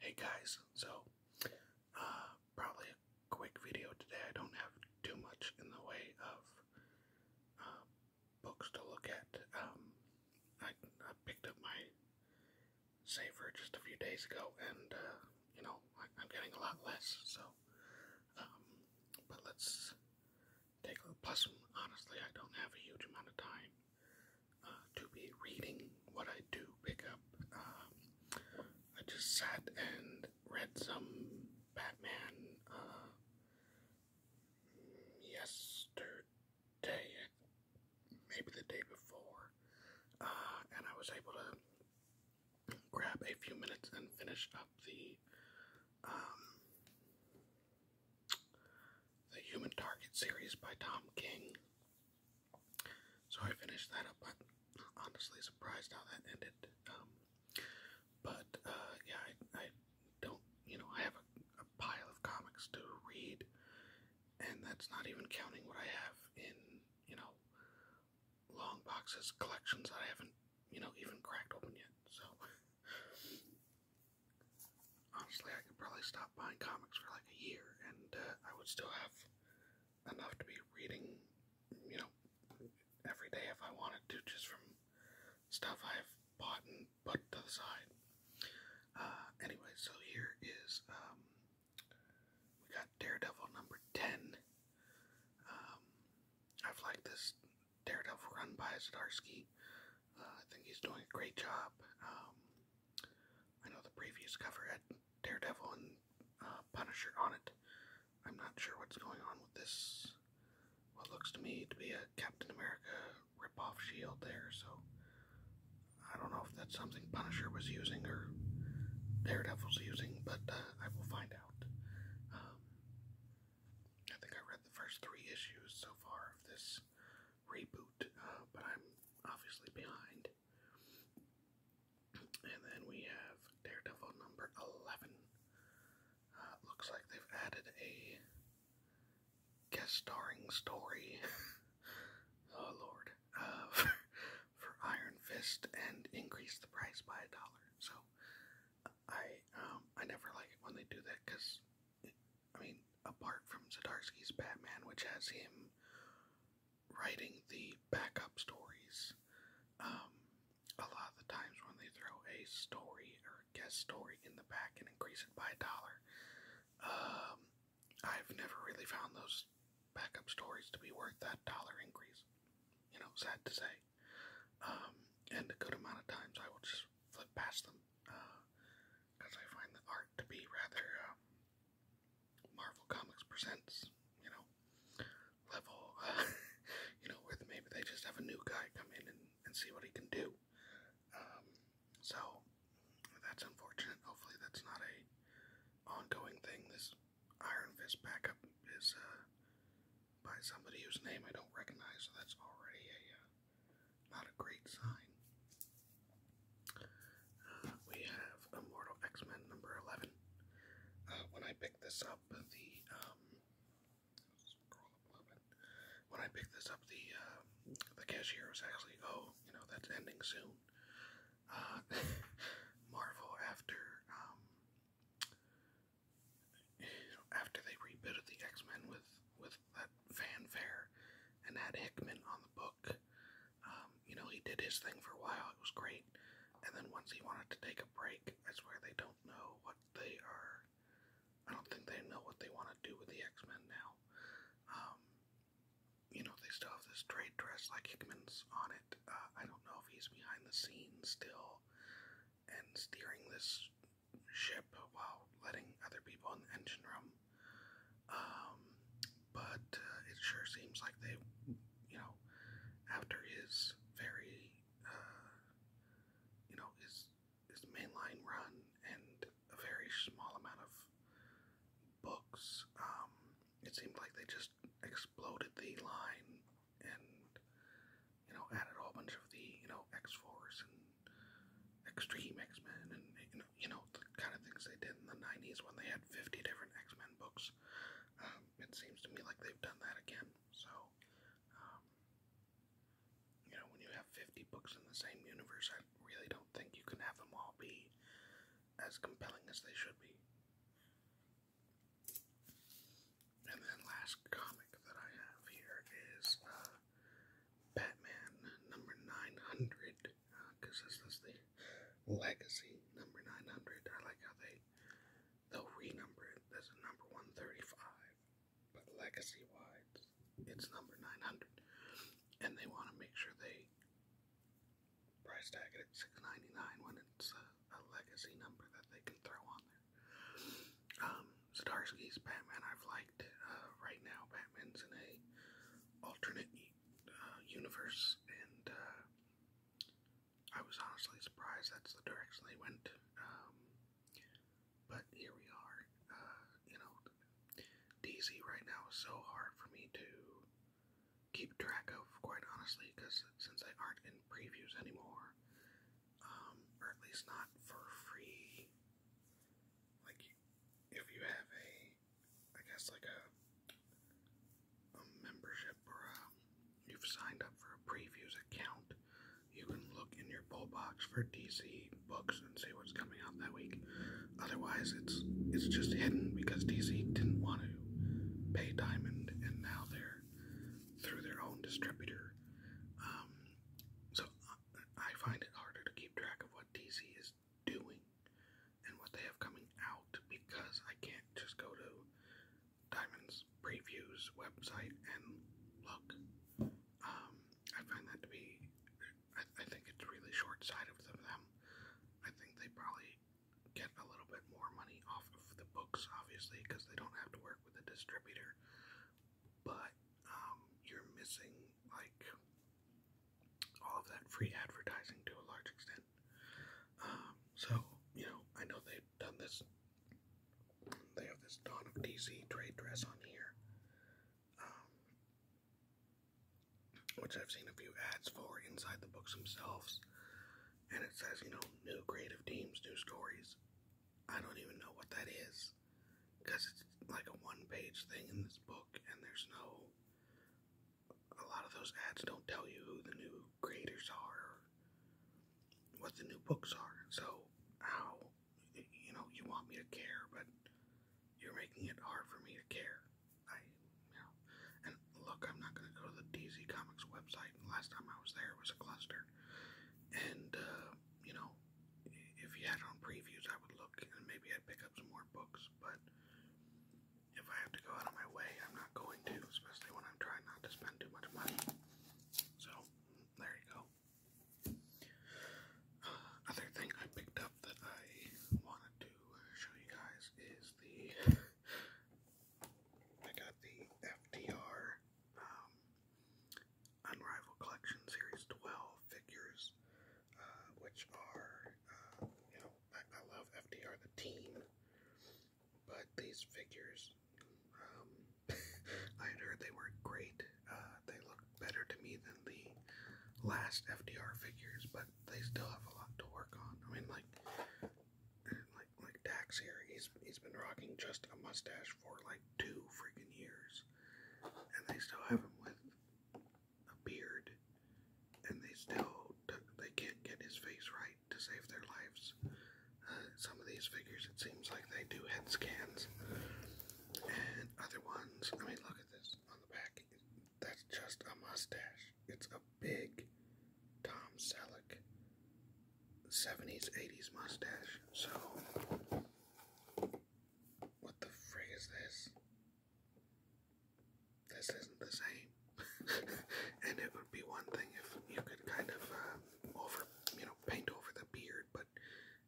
Hey guys, so uh, probably a quick video today. I don't have too much in the way of uh, books to look at. Um, I, picked up my saver just a few days ago, and uh, you know I, am getting a lot less. So, um, but let's take a plus. Honestly, I don't have a huge amount of time. Uh, to be reading what I do pick up. Um, I just sat and read some Batman uh, yesterday, maybe the day before, uh, and I was able to grab a few minutes and finish up the um, the Human Target series by Tom King. So I finished that up, but honestly surprised how that ended. Um, but uh, yeah, I, don't, you know, I have a pile of comics to read, and that's not even counting what I have in, you know, long boxes, collections that I haven't, you know, even cracked open yet. So. Honestly, I could probably stop buying comics for like a year and uh, I would still have enough to be reading, you know, every day if I wanted to, just from stuff I've bought and put to the side. Uh, anyway, so here is, um, we got Daredevil number 10. Um, I've liked this Daredevil run by Zdarsky. Uh, I think he's doing a great job. Um, I know the previous cover had Daredevil and uh, Punisher on it. I'm not sure what's going on with this. What looks to me to be a Captain America ripoff shield there, so I don't know if that's something Punisher was using or Daredevil's using, but uh, I will find out. Um, I think I read the first three issues so far of this reboot, uh, but I'm obviously behind. And then we have Daredevil number 11. Uh, looks like they've added a guest starring story. oh lord. Uh, for Iron Fist and increased the price by a dollar. So, I um I never like it when they do that because I mean apart from Zdarsky's Batman, which has him writing the backup stories, um a lot of the times when they throw a story or a guest story in the back and increase it by a dollar, um I've never really found those backup stories to be worth that dollar increase. You know, sad to say. Um, and a good amount of times I will just flip past them because uh, I find the art to be rather um, Marvel Comics Presents, you know, level, you know, with maybe they just have a new guy come in and, and see what he can do. Um, so that's unfortunate. Hopefully, that's not a ongoing thing. This Iron Fist backup is uh, by somebody whose name I don't recognize, so that's already a uh, not a great sign. Uh, we have Immortal X Men number 11. Uh, when I picked this up, the um, When I picked this up, the um, the cashier was actually, oh, you know, that's ending soon. Marvel after um, after they rebooted the X Men with with that fanfare and had Hickman on the book, um, you know, he did his thing for a while. It was great, and then once he wanted to take a break, I swear they don't know what they are. I don't think they know what they want to do with the X Men now. Um, you know, they still have this trade dress like Hickman's on it. Uh, I don't know if he's behind the scenes still and steering this ship while letting other people in the engine room. Um, but uh, it sure seems like they, you know, after his very, uh, you know, his his mainline run and a very small amount of books, um, it seemed like they just exploded the line and you know added a whole bunch of the you know X Force and Extreme X Men and you know you know the kind of things they did in the '90s when they had 50 different X Men books. Um, it seems to me like they've done that again. So um, you know when you have 50 books in the same universe, I really don't think you can have them all be as compelling as they should be. And then last comic that I have here is uh, Batman number 900, because uh, this is the legacy number 900. I like how they, they'll renumber it. There's a number 135, but legacy-wise, it's number 900. And they want to make sure they price tag it at $6.99 when it's a, legacy number that they can throw on there. Um, Zdarsky's Batman I've liked. Uh, right now, Batman's in a alternate uh, universe, and uh, I was honestly surprised that's the direction they went. Um, but here we are. you know, DC right now is so hard for me too keep track of, quite honestly, because since they aren't in previews anymore, um, or at least not for free. Like, if you have a, I guess like a, a membership or you've signed up for a previews account, you can look in your pull box for DC books and see what's coming out that week. Otherwise, it's it's just hidden because DC didn't want it pay Diamond, and now they're through their own distributor. Um, so I find it harder to keep track of what DC is doing and what they have coming out because I can't just go to Diamond's previews website and look. Um, I find that to be, I think it's really short sighted of them. I think they probably get a little bit more money off of the books, obviously, because they don't have to work with a distributor. But um, you're missing like all of that free advertising to a large extent. Um, so you know, I know they've done this. They have this Dawn of DC trade dress on here. Um, which I've seen a few ads for inside the books themselves. And it says, you know, new creative teams, new stories. I don't even know what that is. Because it's like a one page thing in this book, and there's no. A lot of those ads don't tell you who the new creators are or what the new books are. So, how. You know, you want me to care, but you're making it hard for me to care. I, you know, and look, I'm not gonna go to the DZ Comics website. Last time I was there, it was a cluster, and uh, you know, if you had on previews, I would look and maybe I'd pick up some more books. But if I have to go out of my way, I'm not going to, especially when I'm trying not to spend too much money. So there you go. other thing I picked up that I wanted to show you guys is the I got the uh, FDR um, uh, Unrivaled Collection Series 12 figures, um, uh, which are you um, know I, love FDR the team, but these figures I had heard they were great, uh, they look better to me than the last FDR figures, but they still have a lot to work on. I mean, like, like, like Dax here, he's he's been rocking just a mustache for like two freaking years, and they still have him with a beard, and they still they can't get his face right to save their lives. Uh, some of these figures, it seems like they do head scans, and other ones. I mean, look at this that's just a mustache. It's a big Tom Selleck 70s, 80s mustache. So, what the frig is this? This isn't the same. and it would be one thing if you could kind of uh, over, you know, paint over the beard, but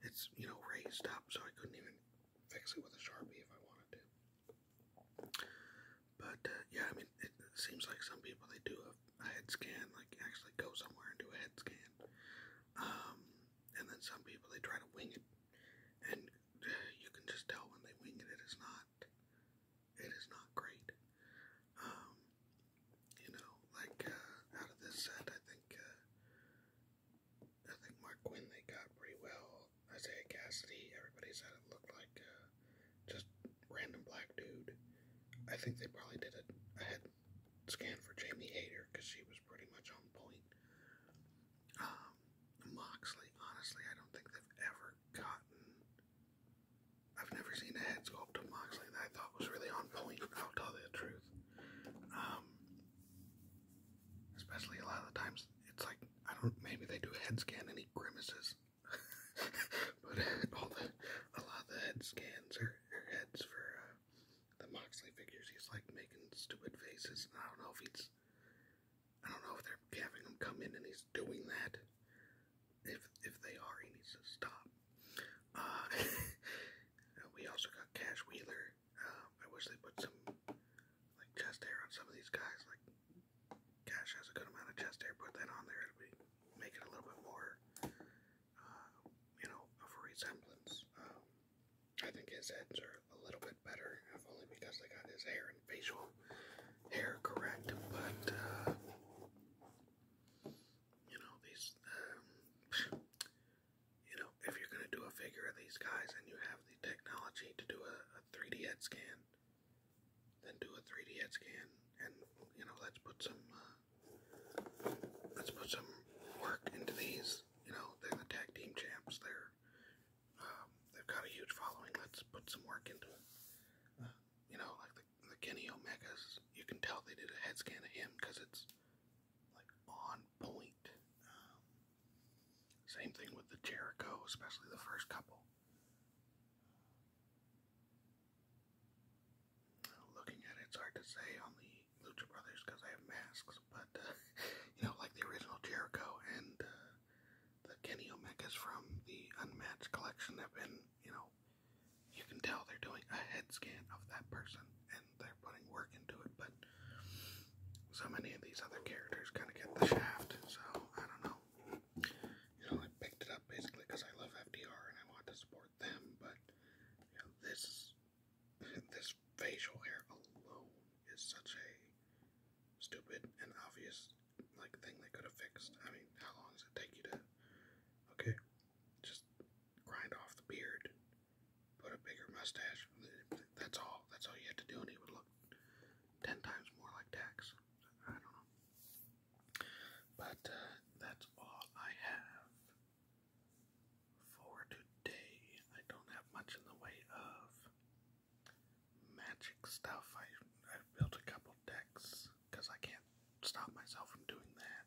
it's, you know, raised up, so I couldn't even fix it with a sharpie if I wanted to. But uh, yeah, I mean, it seems like some people they do a, a head scan, like actually go somewhere and do a head scan. Um, and then some people they try to wing it, and uh, you can just tell when they wing it, it is not, it is not great. Um, you know, like uh, out of this set, I think I think Mark Quinn they got pretty well. Isaiah Cassidy, everybody said it looked like uh, just random black dude. I think they probably did a, a scan for Jamie Hayter because she was pretty much on point. Um, Moxley, honestly, I don't think they've ever gotten. I've never seen a head sculpt of Moxley that I thought was really on point. I'll tell you the truth. Um, especially a lot of the times, it's like I don't. Maybe they do head scan any grimaces. but all the a lot of the head scans are or heads for uh, the Moxley figures, he's like making stupid faces. And I don't know if he's. I don't know if they're having him come in and he's doing that. If if they are, he needs to stop. Uh, we also got Cash Wheeler. Um, I wish they put some like chest hair on some of these guys. Like Cash has a good amount of chest hair. Put that on there. It'd be, make it a little bit more, uh, you know, of resemblance. Um, I think his heads are a little bit better, if only because they got his hair and facial hair correct. But uh, you know, these, um, you know, if you're going to do a figure of these guys and you have the technology to do a, a 3D head scan, then do a 3D head scan and, you know, let's put some, uh, let's put some work into these. You know, they're the tag team champs. They're, um, they've got a huge following. Let's put some work into it. Uh, you know, like the the Kenny Omegas, you can tell they did a head scan of him because it's like on point. Um, same thing with the Jericho, especially the first couple. Looking at it, hard to say on the Lucha Brothers because I have masks, but uh, you know, like the original Jericho and uh, the Kenny Omegas from the Unmatched collection have been, you know, you can tell they're doing a head scan of that person and they're putting work into it, but so many of these other characters kind of get the shaft, so I don't know. You know, I picked it up basically because I love FDR and I want to support them, but this this facial hair alone is such a stupid and obvious like thing they could have fixed. I mean, how long does it take you to? Okay, just grind off the beard, put a bigger mustache. That's all. That's all you had to do, and he would look ten times more like Dax. I don't know. But uh, that's all I have for today. I don't have much in the way of magic stuff. I I've built a couple decks because I can't stop myself from doing that.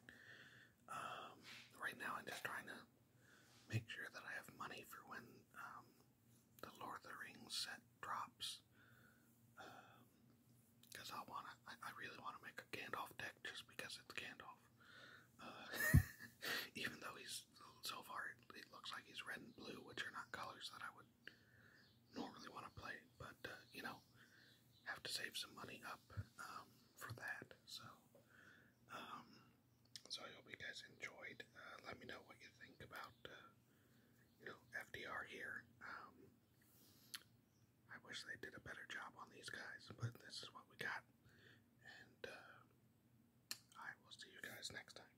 Um, right now, I'm just trying to make sure that I have money for when um, the Lord of the Rings set drops. Because um, I want to, I, really want to make a Gandalf deck just because it's Gandalf. Uh, even though he's so far, it looks like he's red and blue, which are not colors that I would do want to play but uh, you know, have to save some money up um, for that. So, um, so I hope you guys enjoyed. Uh, let me know what you think about uh, you know FDR here. Um, I wish they did a better job on these guys, but this is what we got, and I will see you guys next time.